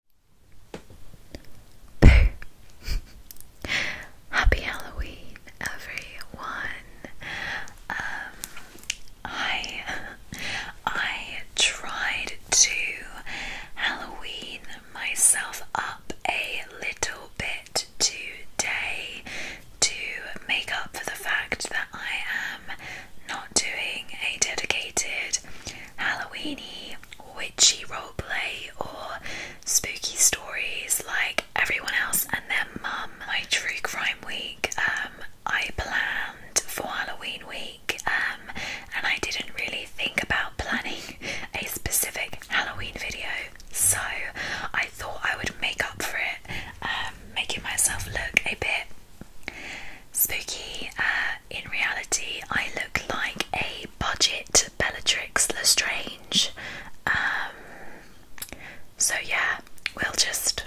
Happy Halloween, everyone. Um, I I tried to Halloween myself up a little bit today to make up for the fact that I am not doing a dedicated Halloweeny, witchy roleplay, or spooky stories like everyone else and their mum. My true crime week, um, I planned for Halloween week, um, and I didn't really think about planning a specific Halloween video, so I thought I would make up for it, um, making myself look a bit Spooky, uh, in reality, I look like a budget Bellatrix Lestrange. Um, so, yeah, we'll just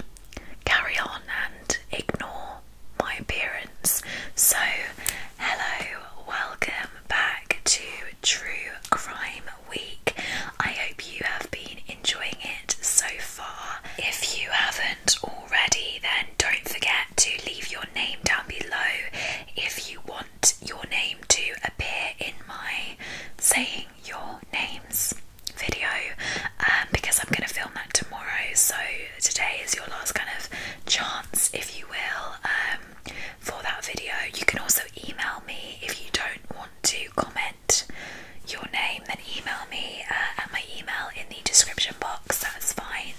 carry on and ignore my appearance. So, hello, welcome back to True Crime Week. I hope you have been enjoying it so far. If you haven't, have already, then don't forget to leave your name down below if you want your name to appear in my saying your names video um, because I'm going to film that tomorrow. So today is your last kind of chance, if you will, um, for that video. You can also email me if you don't want to comment your name, then email me uh, at my email in the description box. That's fine.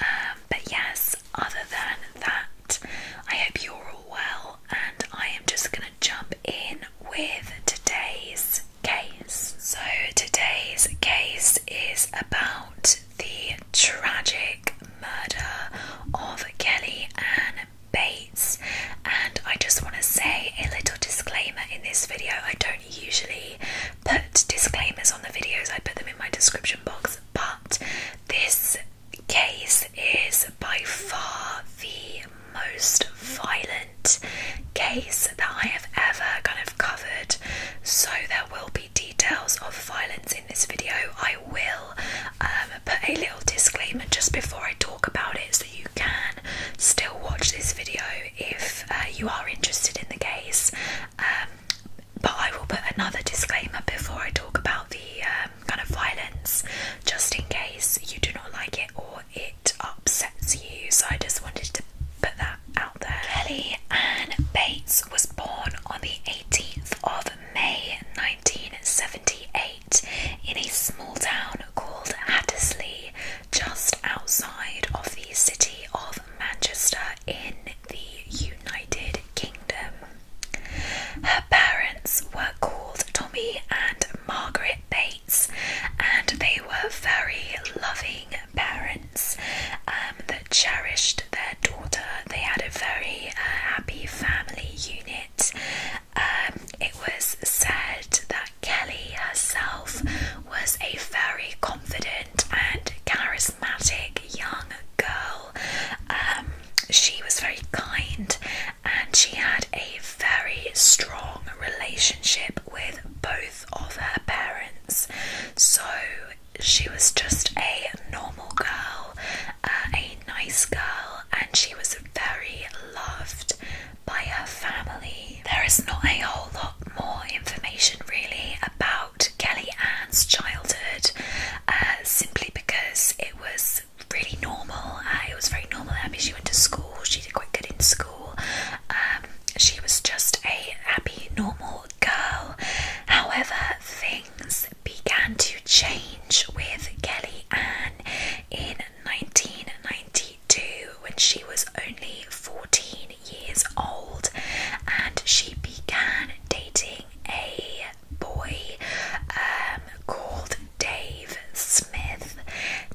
Um, but yes, other than that, I hope you're all well, and I am just going to jump in with today's case. So, today's case is about the tragic murder of Kelly Ann Bates, and I just want to say a little disclaimer in this video. I don't do usually put disclaimers on the videos, I put them in my description box, but this case is by far the most violent case that I have ever kind of covered. So, there will be details of violence in this video. I will um, put a little disclaimer just before I talk about it so you can still watch this video if uh, you are interested in the case um, but I will put another disclaimer before I talk about the um, kind of violence, just in case you do not like it or it upsets you. So I just wanted to put that out there. Kelly Ann Bates was born on the 18th of May 1978 in a small town called Hattersley, just outside of the city of Manchester in the United Kingdom. Her parents were called Tommy and Margaret Bates, and they were very loving parents um, that cherished their daughter. They had a very uh, happy family unit. Um, it was said that Kelly herself was a very confident and charismatic young girl. Um, she was very kind and she had a very strong relationship with both of her parents. So she was just a normal girl, uh, a nice girl, and she was very loved by her family. There is not a whole lot more information really about Kelly Ann's childhood uh, simply because it was really normal. Uh, it was very normal. I mean, she went to school, she did quite good in school. Um, she was just a happy, normal girl. However, things began to change with Kelly Ann in 1992 when she was only 14 years old, and she began dating a boy um, called Dave Smith.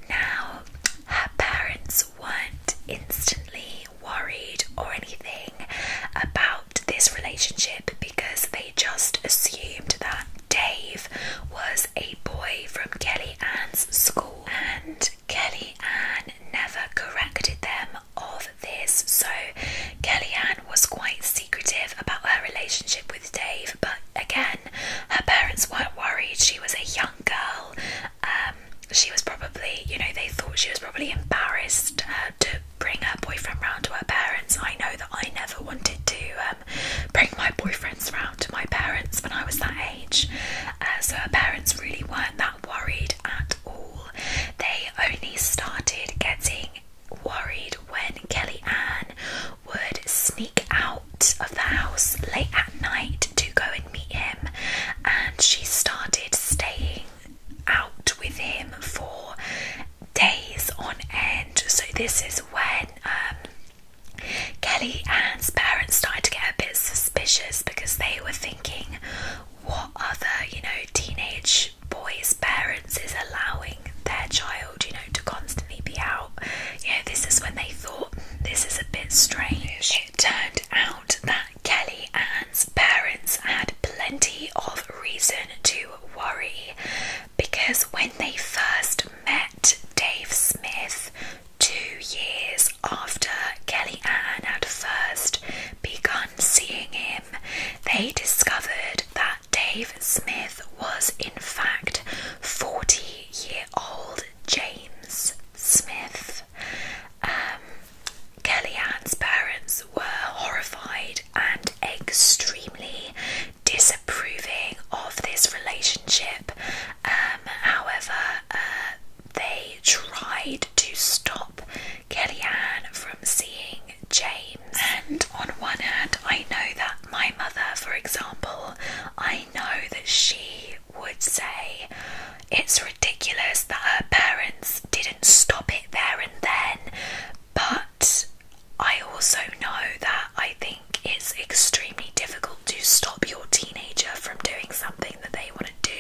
Now, her parents weren't instantly worried or anything about this relationship because they just assumed that Dave was a boy from Kelly Ann's school and Kelly Ann never corrected them of this. So, Kellyanne was quite secretive about her relationship with Dave, but again, her parents weren't worried. She was a young girl. Um, she was probably, you know, they thought she was probably embarrassed uh, to bring her boyfriend round to her parents. I know that I never wanted to um, bring my boyfriends round to my parents when I was that age. Uh, so her parents really weren't that worried at all. They I only started getting worried when Kelly Ann would sneak out of the house late at night to go and meet him, and she started staying out with him for days on end. So, this is when um, Kelly Ann's parents started to get a bit suspicious because they were thinking, what other, you know, teenage boys' parents is allowing their child, you know, to constantly be out. You know, this is when they thought this is a bit strange. It turned out that Kelly Ann's parents had plenty of reason to worry because when they first met Dave Smith two years months after Kellyanne had first begun seeing him, they discovered that Dave Smith was in fact 40 year old James Smith. Um, Kellyanne's parents were horrified and extremely disapproving of this relationship. Um, however, uh, they tried to stop Kellyanne from seeing James. And on one hand, I know that my mother, for example, I know that she would say it's ridiculous that her parents didn't stop it there and then, but I also know that I think it's extremely difficult to stop your teenager from doing something that they want do.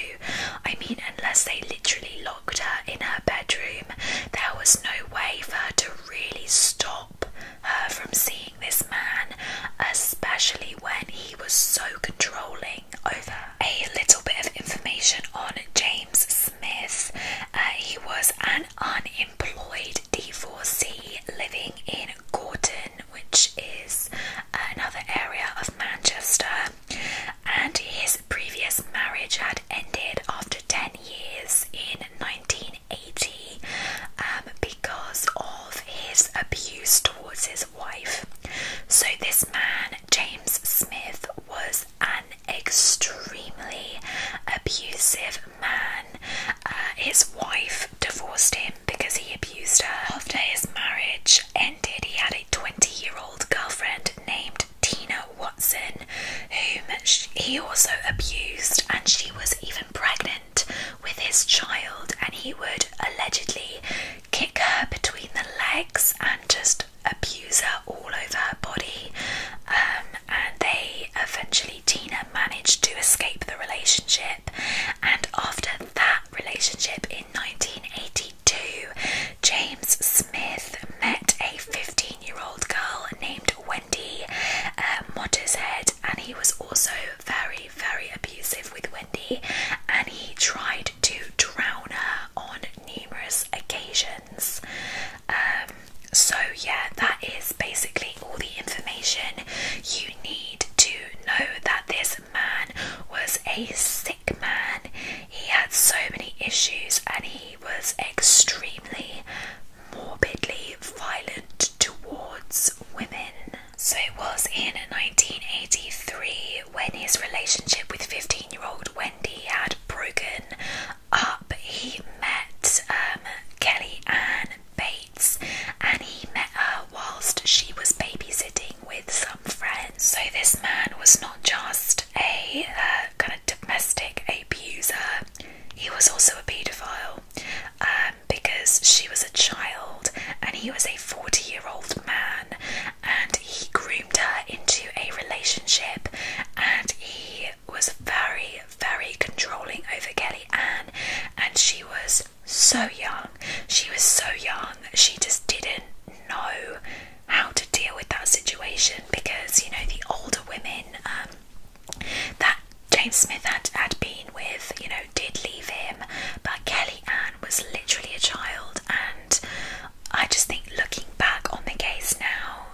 I mean, unless they literally locked her in her bedroom, there was no way for her to really stop her from seeing this man, especially when he was so controlling over A little bit of information on James Smith. Uh, he was an unemployed D4C living in Gorton, which is another area of Manchester and his previous marriage had ended after 10 years in 1980 um, because of his abuse towards his wife. So, this man, James Smith, was an extremely abusive man. Uh, his wife divorced him because he abused her. After his marriage ended, he had a 20 year old girlfriend named Tina Watson, whom he also abused, and she was even pregnant with his child, and he would allegedly kick her between the legs and just abuse her all over her body. Um, and they eventually, Tina managed to escape the relationship, and after that relationship in 1980, 1982, James Smith met a 15 year old girl named Wendy uh, and he was also very, very abusive with Wendy, and he tried to drown her on numerous occasions. Um, so, yeah, that is basically all the information you need to know that this man was a sick man. He had so many issues and he was extremely morbidly violent towards women. So it was in 1983 when his relationship with 15 year old Wendy had broken up. He met um, Kelly Ann Bates and he met her whilst she was babysitting with some friends. So this man was not just a uh, kind of domestic abuser, he was also a paedophile um, because she was a child and he was a 40 year old man and he groomed her into a relationship and he was very, very controlling over Kelly Ann and she was so young. She was so young, she just didn't know how to deal with that situation because you know the older women um, that James Smith had, had been with, you know, did leave him, but Kelly Ann was literally a child, and I just think looking back on the case now,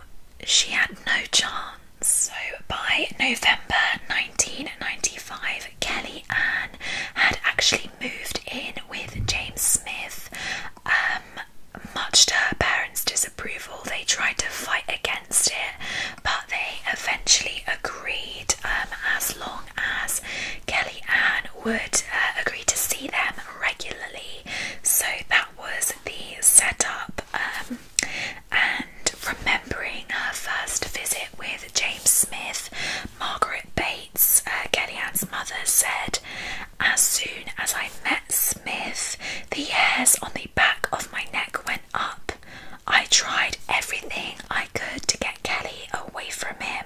she had no chance. So by November 1995, Kelly Ann had actually moved in with James Smith. Um, much to her parents' disapproval, they tried to fight against it, but they eventually agreed um, as long as Kelly Ann would uh, agree to see them regularly. So that was the setup. Um, and remembering her first visit with James Smith, Margaret Bates, uh, Kellyanne's mother, said, as soon as I met Smith, the hairs on the back of my neck went up. I tried everything I could to get Kelly away from him.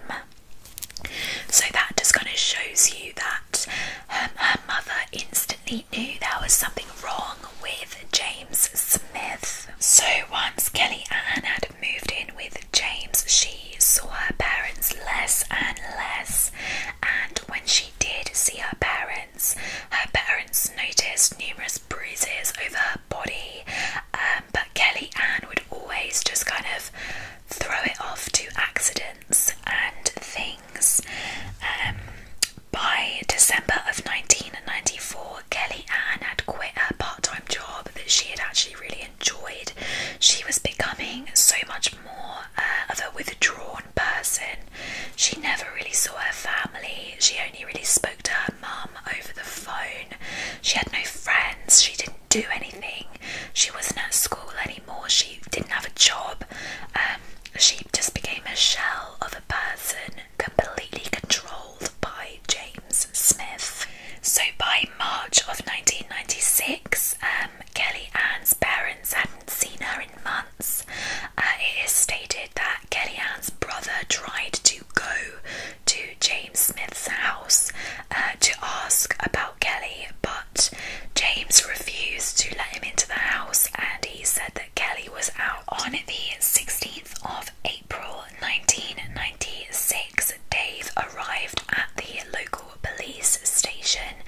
So that just kind of shows you that um, her mother instantly knew there was something wrong with James Smith. So once Kelly Ann had moved in with James, she she saw her parents less and less, and when she did see her parents, her parents noticed numerous bruises over her body. Um, but Kelly Ann would always just kind of throw it off to accidents and things. Um, by December of 1994, Kelly Ann had quit her part time job that she had actually really enjoyed. She was becoming so much more uh, of a withdrawn person. She never really saw her family. She only really spoke to her mum over the phone. She had no friends. She didn't do anything. She wasn't at school anymore. She didn't have a job. Um, she just became a shell of a person completely controlled by James Smith. So by March of 1996, um, Kelly Ann's parents hadn't seen her in months. Uh, it is stated that Kelly Ann's brother tried to go to James Smith's house uh, to ask about Kelly, but James refused to let him into the house and he said that Kelly was out on the 16th of April 1996. Dave arrived at the local police station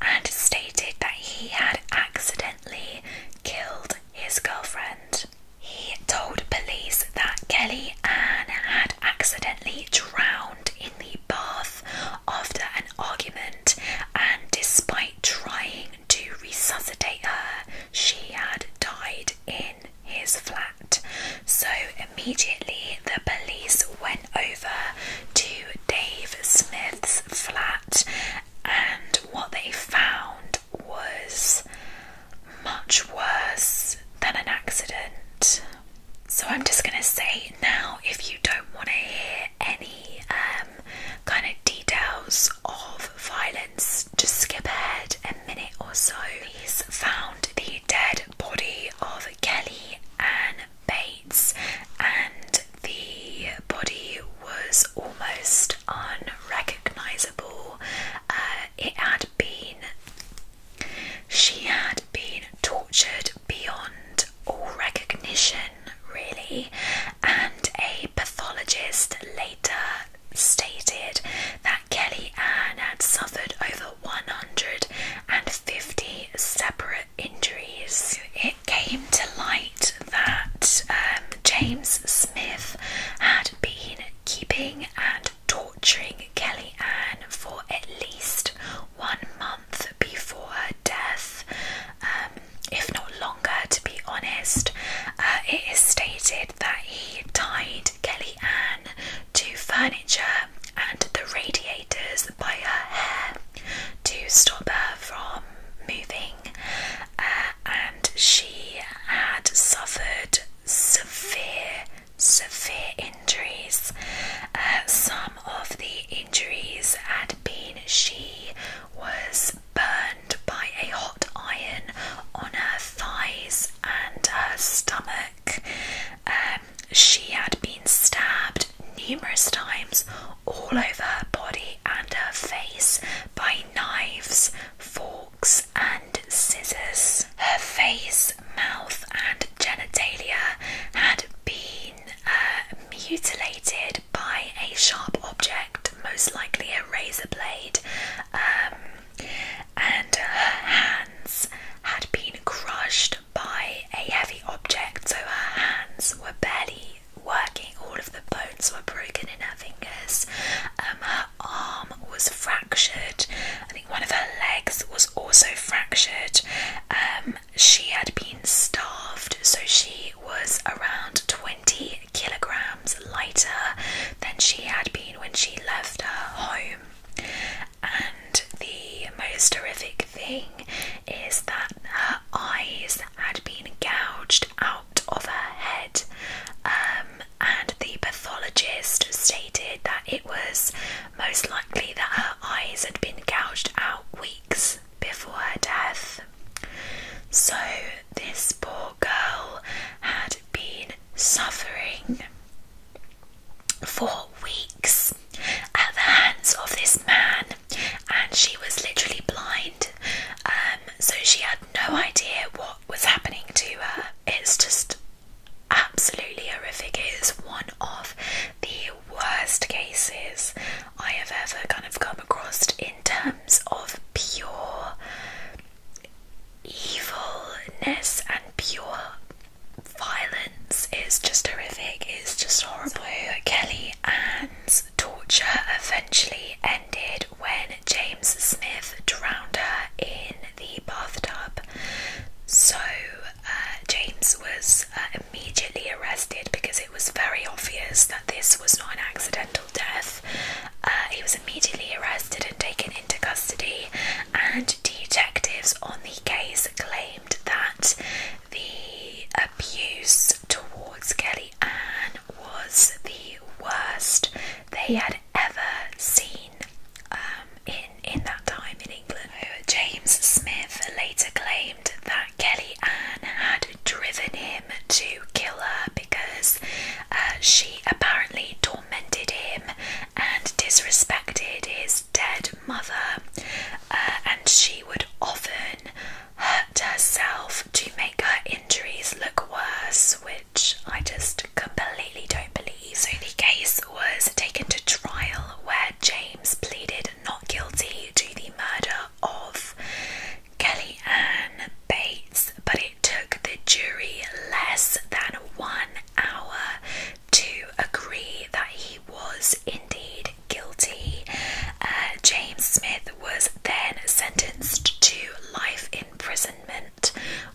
and stated that he had accidentally killed his girlfriend. He told police that Kelly Ann had accidentally drowned in the bath after an argument, and despite trying to resuscitate her, she had died in his flat. So immediately the police went over to Dave Smith's flat, and what they found was much worse than an accident. So, I'm just going to say now if you don't want to hear any um, kind of details of violence, just skip ahead a minute or so. Police found the dead body of Kelly Ann Bates, and the body was almost unrecognizable. Uh, it had been, she had been tortured beyond all recognition, really, and a pathologist later stated that Kelly Ann had suffered over 150 separate injuries. It came to light that um, James Smith had been keeping and torturing Kelly Ann for at least one month before her death, um, if not longer, to be honest. Uh, it is stated that he tied Kelly Ann to furniture and the radiator manipulators by her hair to stop her from moving, uh, and she had suffered severe, severe injuries. Uh, some of the injuries had been she was burned by a hot iron on her thighs and her stomach. Um, she had been stabbed numerous times all over her body and her face by knives, forks, and scissors. Her face, mouth, and genitalia had been uh, mutilated by a sharp object, most likely a razor blade, um, and her hands had been crushed by a heavy object, so her hands were barely working, all of the bones were broken in her fingers, um, her arm was fractured, I think one of her legs was also fractured. Um, she had been starved, so she was around 20 kilograms lighter than she had been when she left her home and the most horrific thing is that her eyes had been gouged out of her head, um, and the pathologist stated that it was most likely that her eyes had been gouged out weeks before her death. So, this poor girl had been suffering for weeks at the hands of this man, and she was literally blind. Um, so she had no idea what was happening to her. It's just absolutely horrific. It is one of the worst cases I have ever kind of come across in terms of pure evilness and pure violence is just horrific, it's just horrible. Kelly Ann's torture eventually ended when James Smith drowned her in the bathtub. So, uh, James was uh, immediately arrested because it was very obvious that this was not an accidental death. Uh, he was immediately arrested and taken into custody, and detectives on the case claim that the abuse towards Kelly Ann was the worst they had ever seen um, in, in that time in England. James Smith later claimed that Kelly Ann had driven him to kill her because uh, she apparently tormented him and disrespected his dead mother, uh, and she would often hurt herself to make her injuries look worse, which I just completely don't believe. So the case was taken to trial where James pleaded not guilty to the murder of Kellyanne Bates, but it took the jury less than one hour to agree that he was indeed guilty. Uh, James Smith was then sentenced to life imprisonment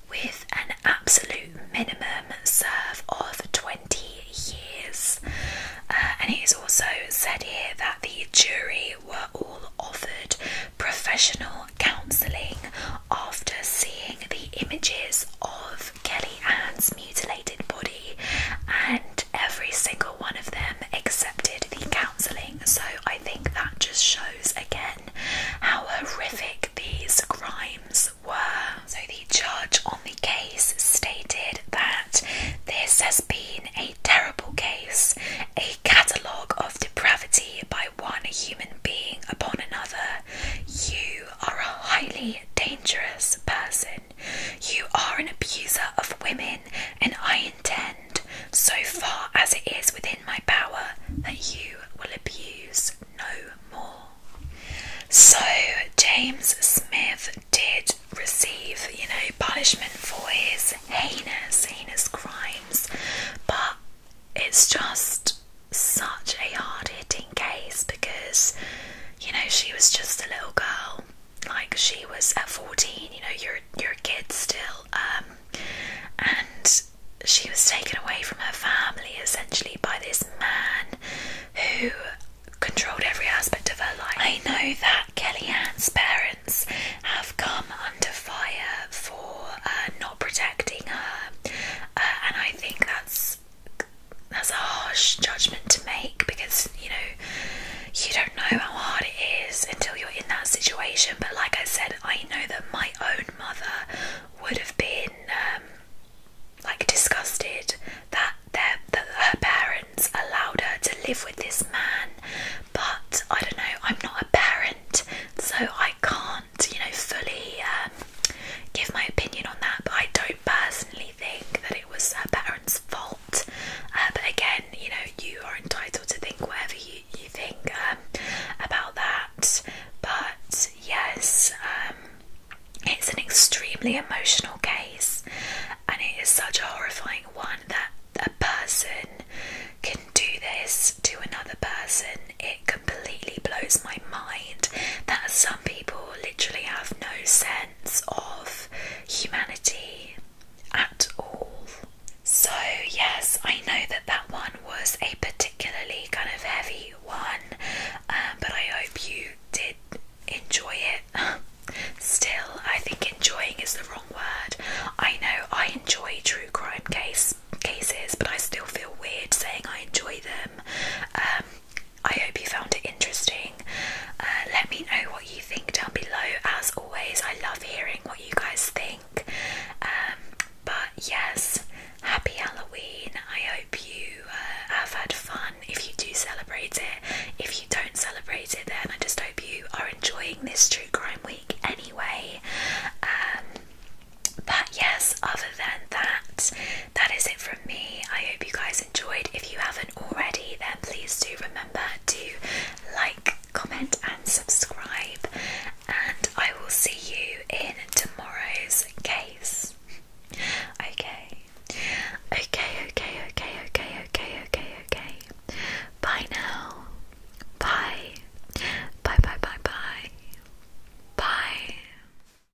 with an absolute minimum serve of 20 years. Uh, and it is also said here that the jury were all offered professional counselling after seeing the images of Kelly Ann's mutilated body, and every single one of them accepted the counselling. So I think that just shows again how horrific these crimes were. So the judge on the case stated that this has been a terrible case, a catalogue of depravity by one human being upon another, you are a highly dangerous person. You are an abuser of women, and I intend, so far as it is within my power, that you will abuse no more. So, James Smith did receive, you know, punishment for his heinous, heinous crimes, but it's just such a hard hitting case because, you know, she was just a little girl. Like she was at 14, you know, you're you're a kid still. Um, and she was taken away from her family essentially by this man who controlled every aspect of her life. I know that Kellyanne's parents have come under fire for uh, not protecting her, uh, and I think that's that's a harsh judgment to make because you know you don't know how hard it is until you're in that situation. But like I said, I know that my own mother would have been um, like disgusted that their, that her parents allowed her to live with this man. But I don't know. I'm not a parent, so I can't you know fully um, give my opinion on that, but I don't personally think that it was her parents' fault. Uh, but again, you know, you are entitled to think whatever you, you think um, about that. But yes, um, it's an extremely emotional case, and it is such a horrifying one that a person can do this to another person. It completely blows my mind that some people literally have no sense of humanity at all. So, yes, I know that that one was a particularly kind of heavy one, um, but I hope you did enjoy it. Still, I think enjoying is the wrong word. I know I enjoy true crime case cases, but I still feel weird saying I enjoy them. Um, I hope you found it interesting. Uh, let me know what you think down below. As always, I love hearing what you guys think. Um, but yes, happy Halloween. I hope you uh, have had fun if you do celebrate it. If you don't celebrate it, then I just hope you are enjoying this true crime week anyway. Um, but yes, other other than that, that is it from me. I hope you guys enjoyed. If you haven't already, then please do remember to like, comment, and subscribe. And I will see you in tomorrow's case. Okay. Okay, okay, okay, okay, okay, okay, okay. Bye now. Bye. Bye, bye, bye, bye. Bye.